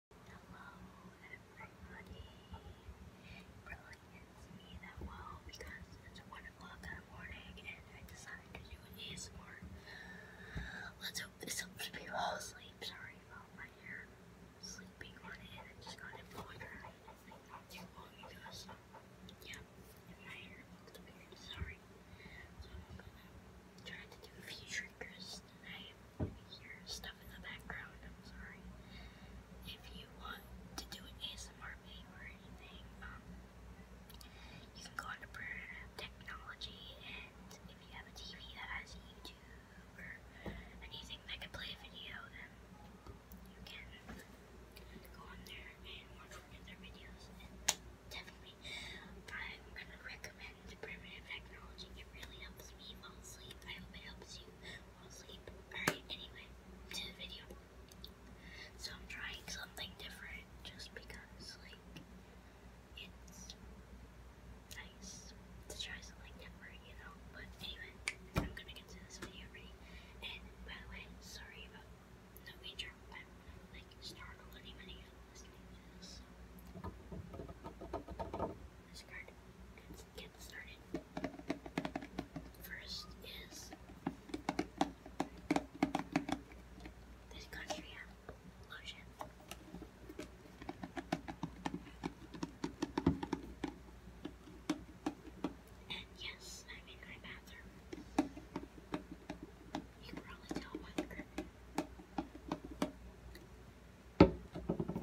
Hello everybody! Brilliant, it's me that well because it's 1 o'clock in morning and I decided to do an ASMR. Let's hope this helps people sleep. Sorry about my hair sleeping on it just got it blowing I think not too long my hair looks weird, sorry. So to do a few triggers I hear stuff in the background. I'm sorry. If you want to do an ASMR video or anything, um, you can go on to Primitive Technology, and if you have a TV that has YouTube or anything that can play video, then you can go on there and watch one videos. definitely, I'm gonna recommend primitive technology. It really helps me fall asleep. I hope it helps you fall asleep. Alright, anyway, to the video. So I'm trying something different just because, like, it's nice to try something different, you know? But anyway, I'm gonna get to this video already. And by the way, sorry about no intro, like, startled anybody. This card. Let's get started. First is this Castria lotion. And yes, I'm in my bathroom. You probably tell by the curtain. I'm gonna play a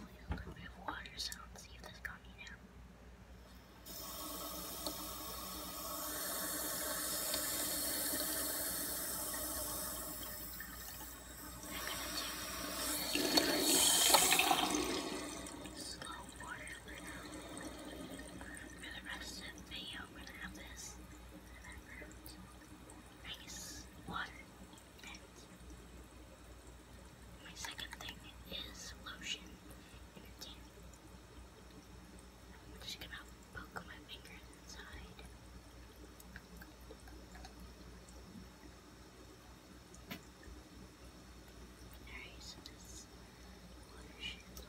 little bit of water sound, see if this got me down. I'm gonna do slow water for now. For the rest of the video, I'm gonna have this in the background ice, water, that. My second thing is lotion just gonna poke my fingers inside. Alright, this water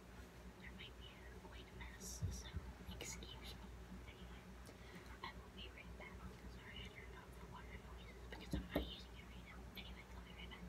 there might be a quite a mess, so excuse me. Anyway, I will be right back. Sorry I turned off the water because I'm not using it right now. Anyway, I'll be right back.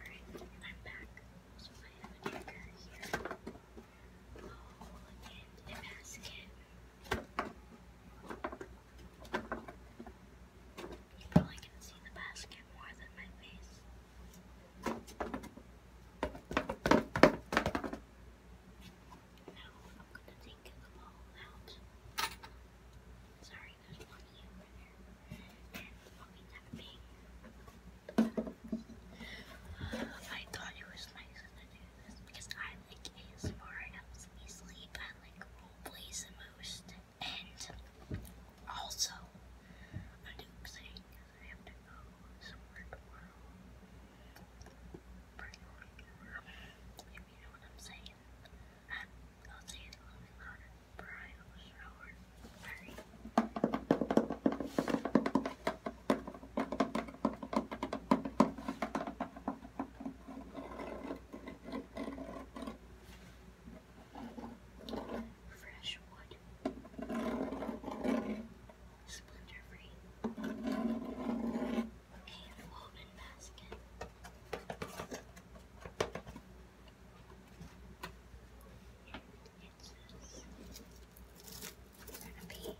Alright, I'm back. So I have a trigger here. Oh, and a basket. You probably can see the basket more than my face now I'm gonna take them all out. Sorry, there's one here And I'll be I thought it was nice to do this because I like ASMR. It helps me sleep. I like roleplays the most. And also, I'm doing because I have to go somewhere tomorrow if you know what I'm saying. I'll say it a little bit louder for shower. Sorry. Fresh wood splinter Okay, the woven basket. It's gonna be. Oh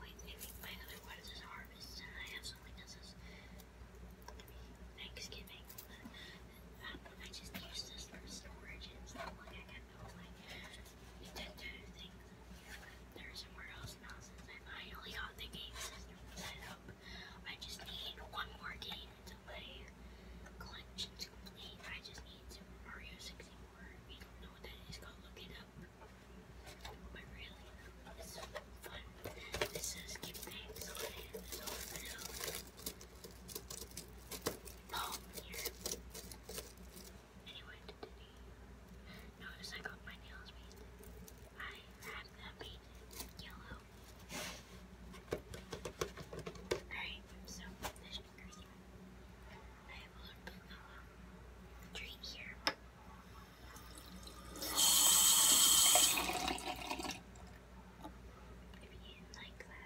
wait, maybe my one is harvest, and I have something that says Thanksgiving. Um, I just used this for storage and know, you I finally got the game system set up. I just need one more game to play. Collection's complete. I just need Super Mario 64. If don't know what that is, go look it up. But really, it's so fun. This is Keep enjoyed Notice I got my nails painted. I have them painted yellow. Alright, so this cursor. I will put the tree here. If you like that.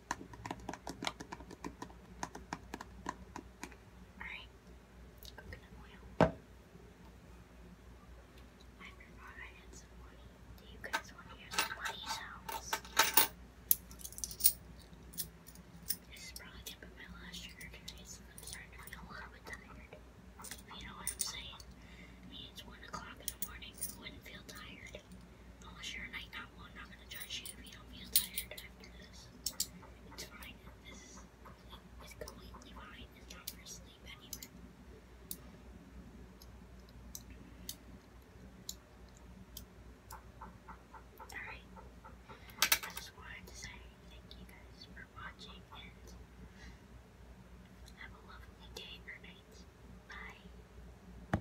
Alright, coconut oil. I forgot I had some money. Do you guys want to hear some money sounds? This is probably gonna be my last trigger today, so I'm starting to feel a little bit tired. If you know what I'm saying. I it's 1 o'clock in the morning, I wouldn't feel tired. Unless oh, you're a night owl, I'm not gonna judge you if you don't feel tired after this. It's fine. This is it's completely fine. It's not for sleep anyway. Alright. I just wanted to say thank you guys for watching and have a lovely day or night. Bye.